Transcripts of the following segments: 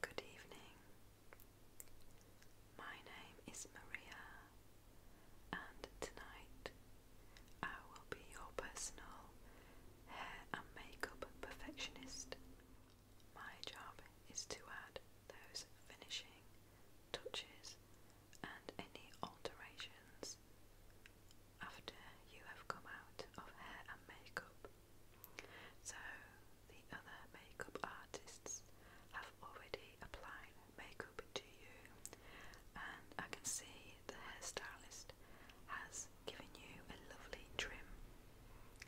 Good evening. My name is Maria, and tonight I will be your personal hair and makeup perfectionist. My job is to add those finishing touches and any alterations after you have come out of hair and makeup. So, the other makeup artists have already applied makeup to you, and I can see the hairstylist has given you a lovely trim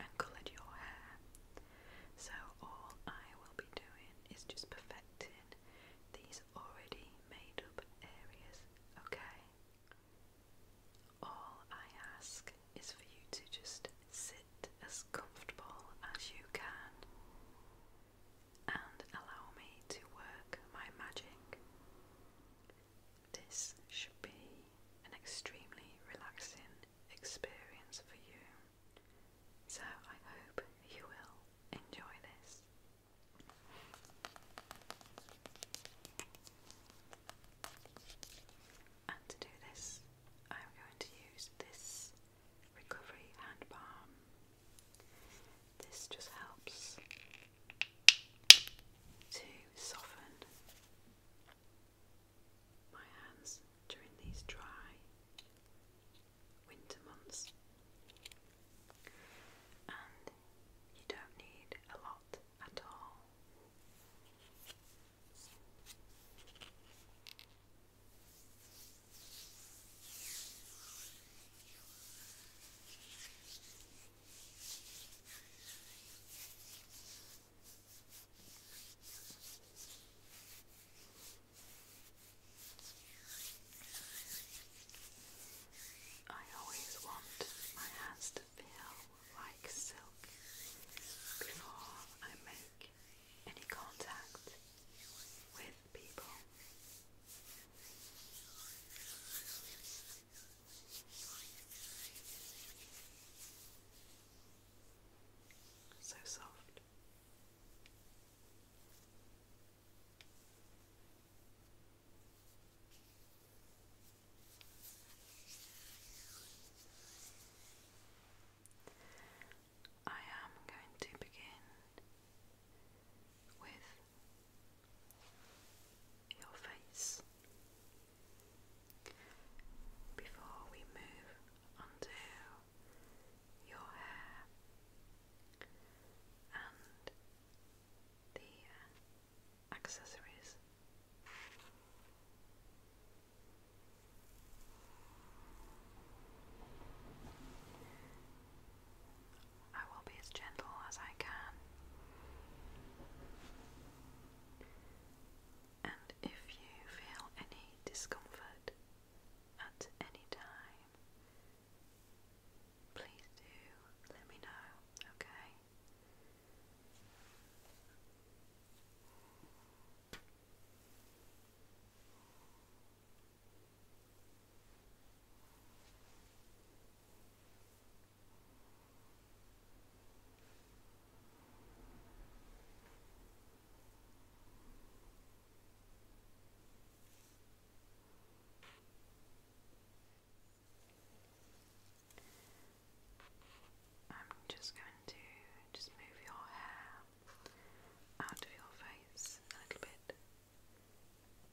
and coloured your hair. So, all I will be doing is just perfecting these already made up areas, okay? All I ask is for you to just sit as comfortable as you can and allow me to work my magic. This should be an extremely relaxing experience for you. So I hope you will enjoy this. And to do this, I'm going to use this recovery hand balm. This just helps to soften my hands during these dry winter months. And you don't need a lot at all. I always want my hands to feel like silk before I make any contact with people. So soft. I am going to begin with your face. Before we move on your hair and the accessories. I will be as gentle as I can. And if you feel any discomfort at any time, please do let me know, okay? I'm just going to just move your hair out of your face a little bit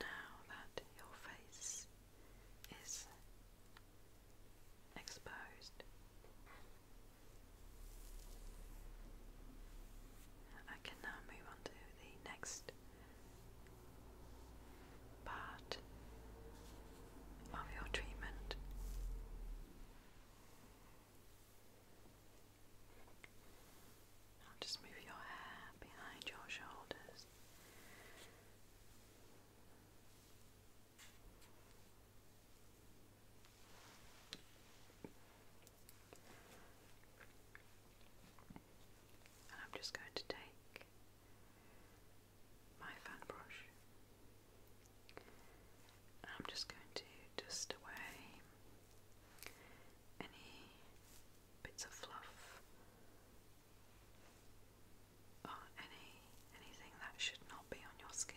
Now that your face is exposed, I can now move on to the next part of your treatment. Now just move your hair behind your shoulders. And I'm just going to take my fan brush. I'm just going to dust away any bits of fluff or any anything that should not be on your skin.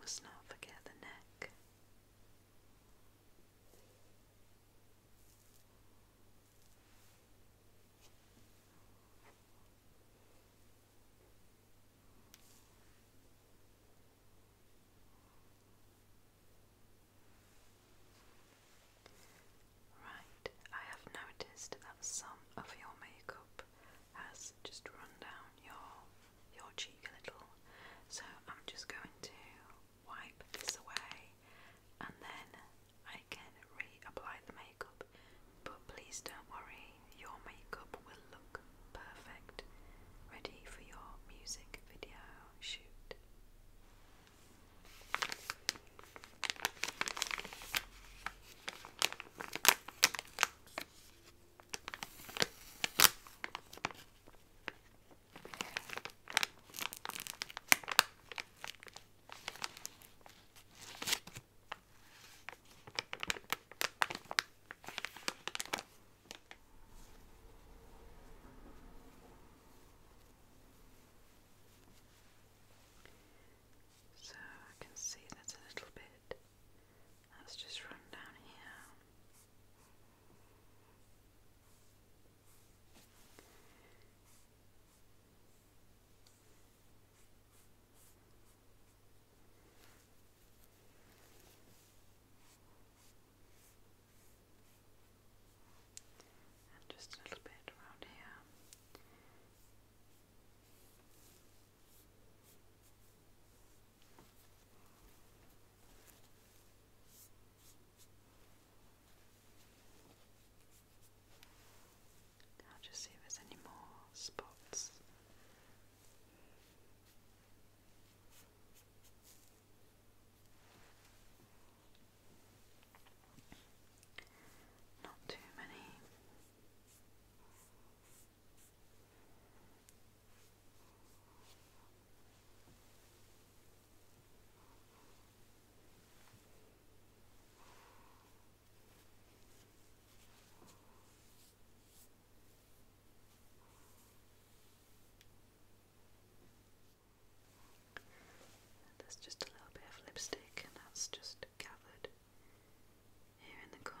Must not forget the neck. Right, I have noticed that some of your makeup has just run down your your cheek a little, so I'm just going to wipe this away and then I can reapply the makeup. But please don't worry, your makeup will perfect, ready for your music video shoot. So I can see that's a little bit that's just run down here just a little bit around here. I'll just see if there's any more spots. Not too many. There's just a little bit of lipstick, and that's just gathered here in the corner.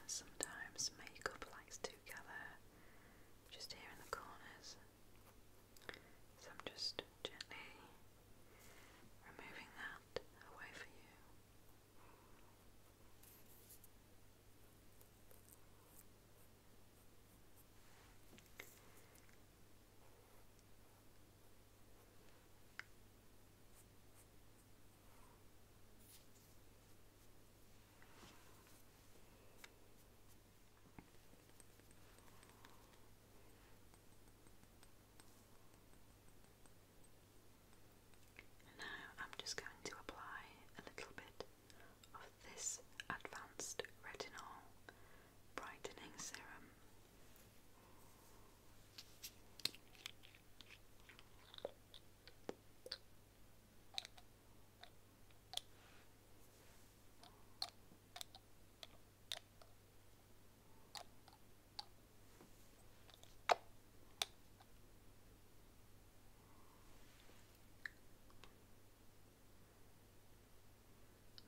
And sometimes makeup likes to gather just here in the corners. So I'm just gently removing that away for you now I'm just going to apply a little bit of this advanced retinol brightening serum.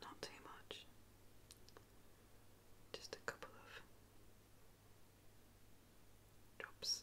Not too much, just a couple of drops.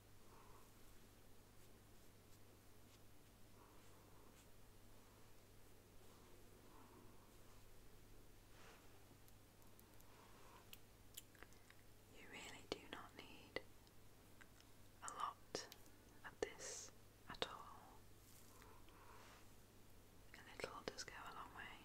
You really do not need a lot of this at all. A little does go a long way.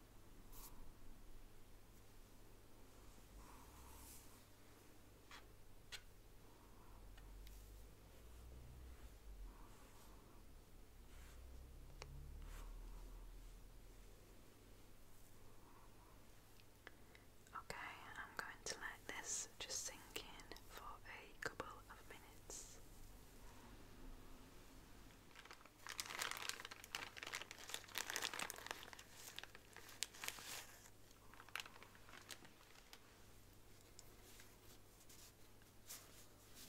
Okay, I'm going to let this just sink in for a couple of minutes.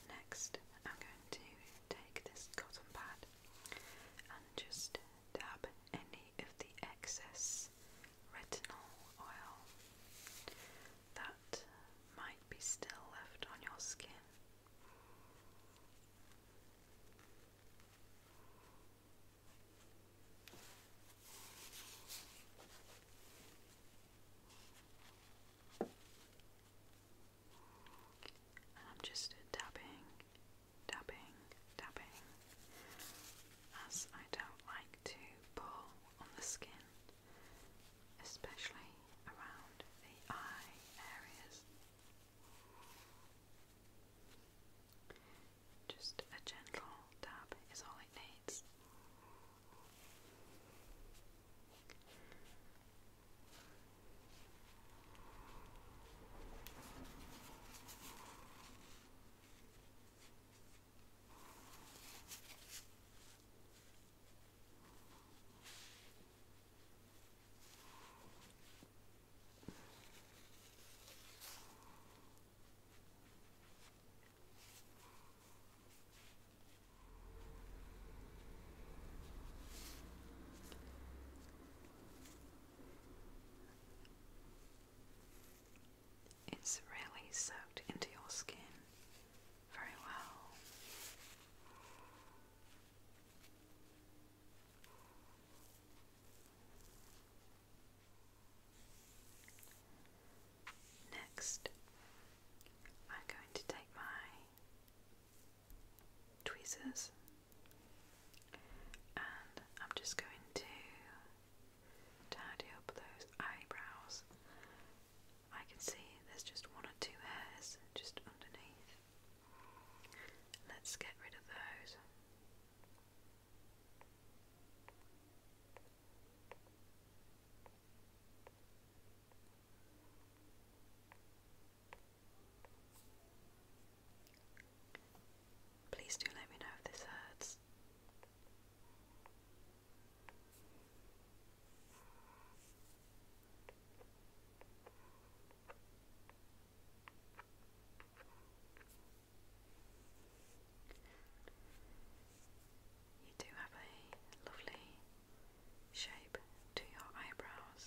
Next, I'm going to take this cotton pad and just dab any of the excess retinol oil that might be still left on your skin. I'm just tapping, tapping, tapping as I don't like to pull on the skin, especially around the eye areas. Just a gentle dab is all it needs. It's really soaked into your skin very well. Next, I'm going to take my tweezers and I'm just going to tidy up those eyebrows. I can see there's just one or two hairs just underneath. Let's get rid of those. Please do let me know if this hurts. You do have a lovely shape to your eyebrows.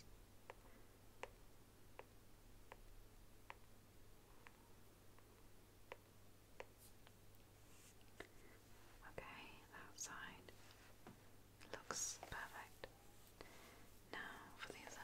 Okay, that side looks perfect. Now for the other.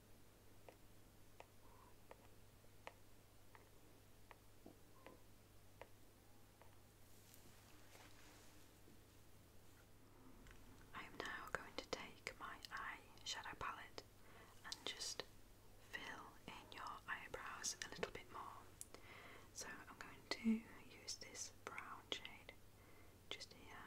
I am now going to take my eye shadow palette and just fill in your eyebrows a little bit more. So I'm going to use this brown shade just here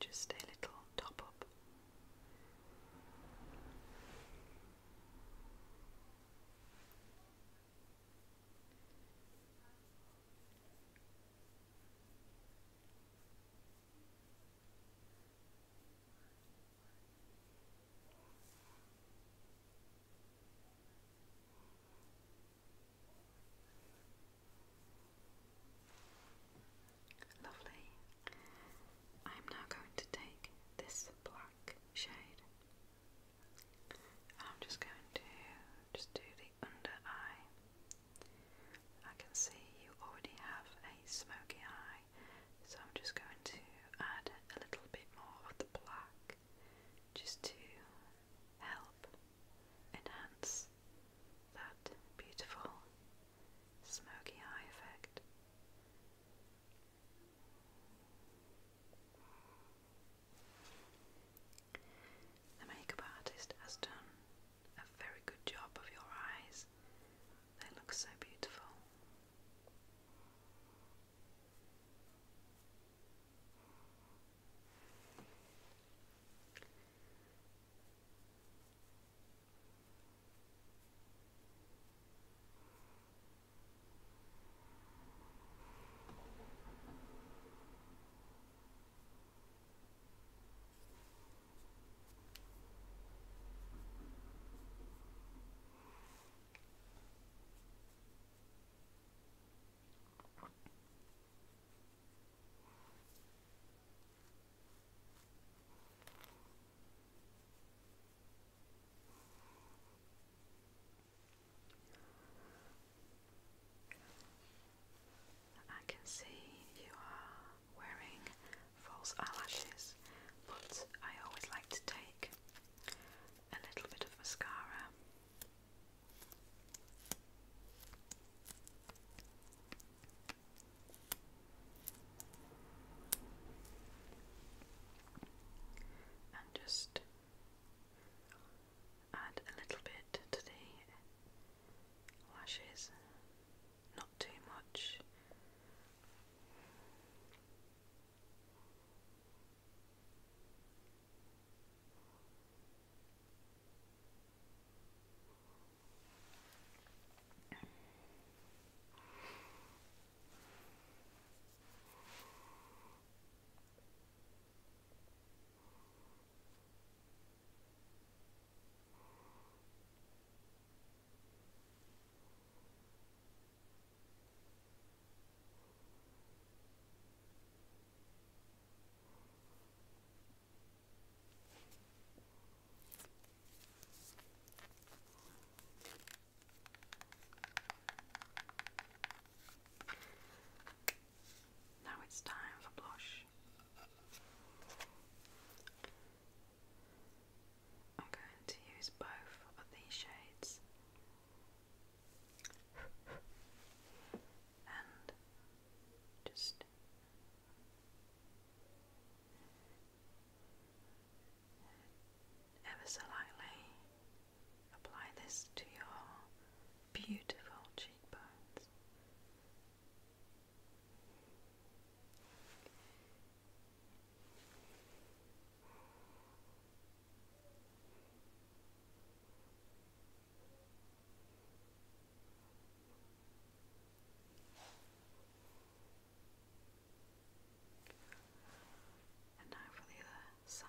just a little top up. Lovely. I am now going to take this black shade I'm just going to just do the under eye. I can see you already have a smoky eye. So I'm just going to add a little bit more of the black just to help enhance that beautiful smoky eye effect. The makeup artist has done a very good job of your eyes. They look so beautiful. I can see you are wearing false eyelashes, but I always like to take a little bit of mascara. And just add a little bit to the lashes not too much. Now it's time for blush. I'm going to use both of these shades and just ever so lightly apply this to your beautiful cheekbones. And now for the other side.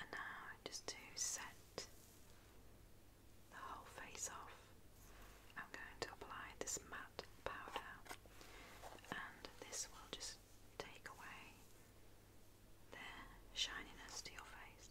And now just to set the whole face off, I'm going to apply this matte powder and this will just take away the shininess to your face.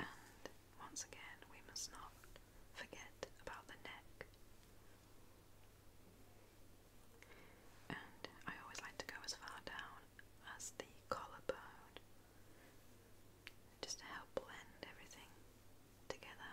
And once again, we must not forget about the neck. And I always like to go as far down as the collarbone just to help blend everything together.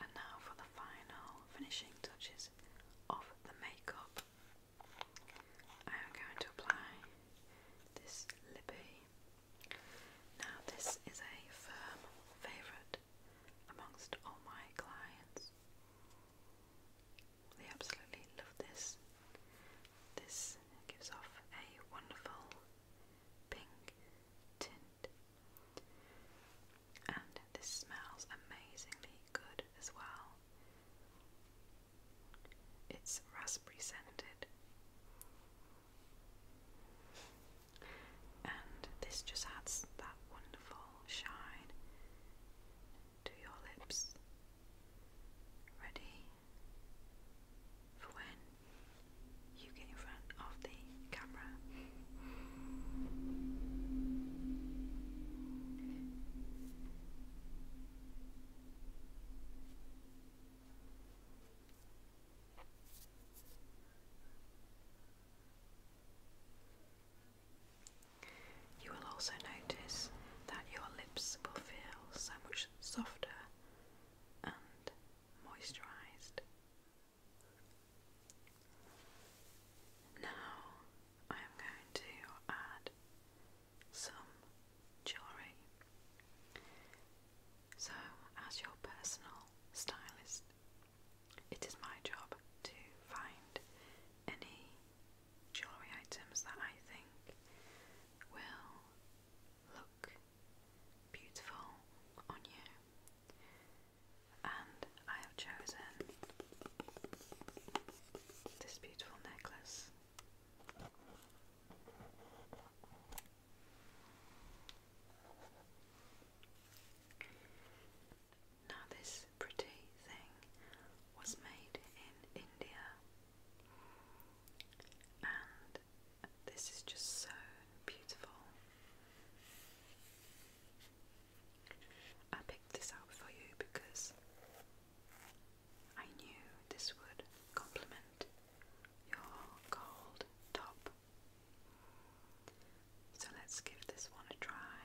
And now for the final finishing touches of the makeup. I am going to apply this lippy. Now, this is a firm favourite amongst all my clients. They absolutely love this. This gives off a wonderful pink tint, and this smells amazingly good as well. It's raspberry scented, and this just adds that wonderful shine to your lips, ready for when you get in front of the camera. You will also notice that your lips will feel so much softer and moisturised. Now I am going to add some jewellery. So, as your personal stylist it is my job to find any jewellery items that I think will look beautiful on you. And I have chosen this beautiful necklace. Now, this pretty thing was made in India, and this is just so beautiful. I picked this out for you because I knew this would complement your gold top. So let's give this one a try.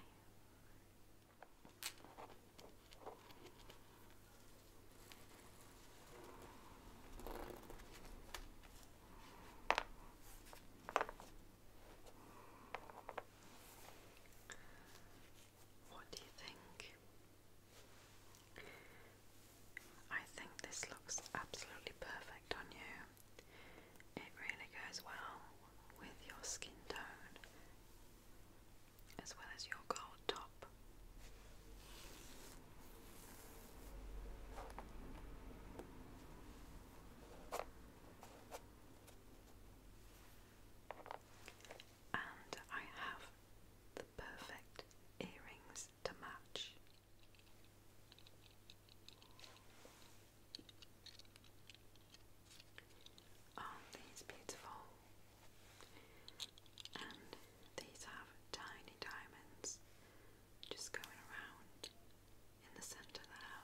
What do you think? I think this looks absolutely perfect on you. It really goes well with your skin tone as well as your gold top. And I have the perfect earrings to match are oh, these beautiful? And these have tiny diamonds just going around in the centre there.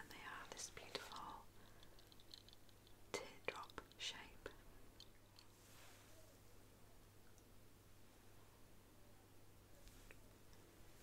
And they are this beautiful teardrop shape.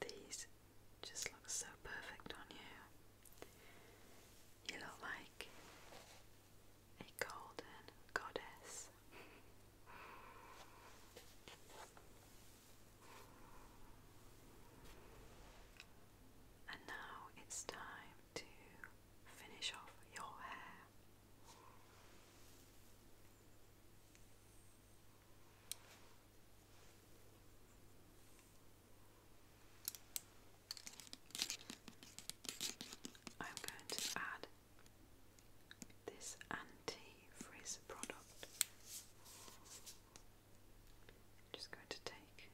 These just look so perfect on you. You look like a golden goddess. And now it's time to finish off your hair. I'm going to add this anti frizz product. I'm just going to take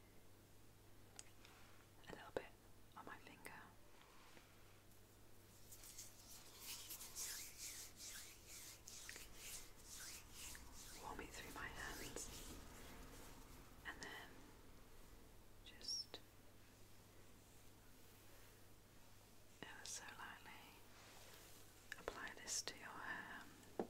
a little bit on my finger. Warm it through my hands and then just ever so lightly apply this to your hair.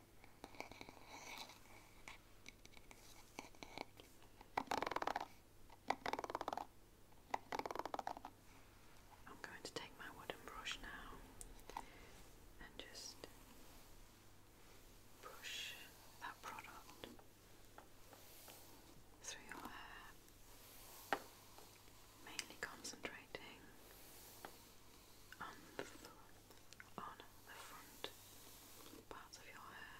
I'm going to take my wooden brush now and just push that product through your hair, mainly concentrating on the front, on the front parts of your hair.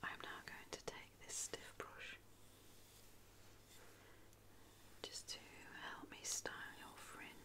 I'm now going to take this stiff brush just to help me style your fringe.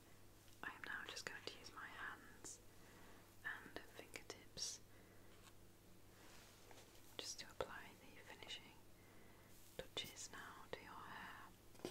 I am now just going to use my hands and fingertips just to apply the finishing touches now to your hair.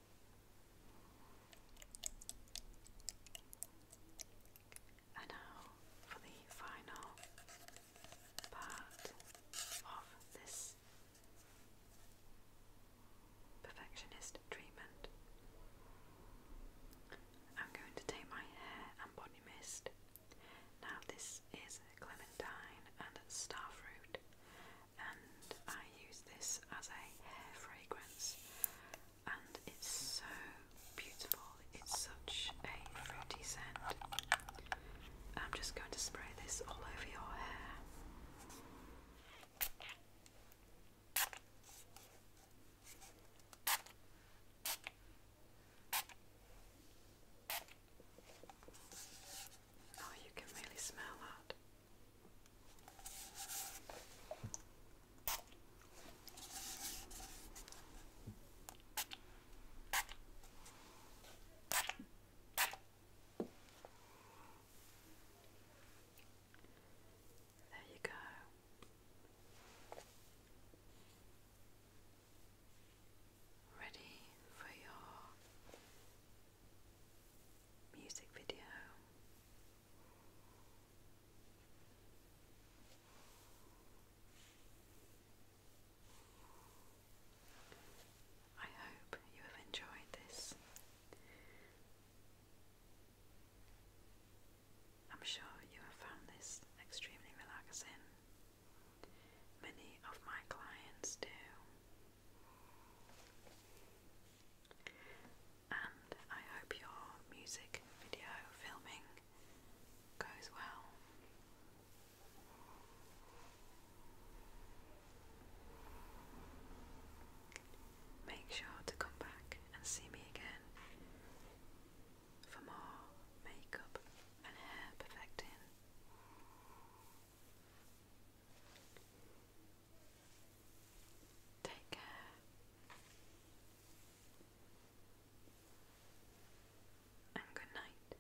And now for the final part of this perfectionist treatment. I'm going to take my hair and body mist. Now, this is clementine and starfruit, and I use this as a hair fragrance and it's so beautiful. It's such a fruity scent. I'm just going to spray this all over your hair. Oh, you can really smell that. There you go. Ready for your music video. I hope you have enjoyed this. I'm sure you have found this extremely relaxing. Many of my clients do. And I hope your music video filming goes well. Make sure to come back and see me again for more makeup and hair perfecting. Take care. And good night.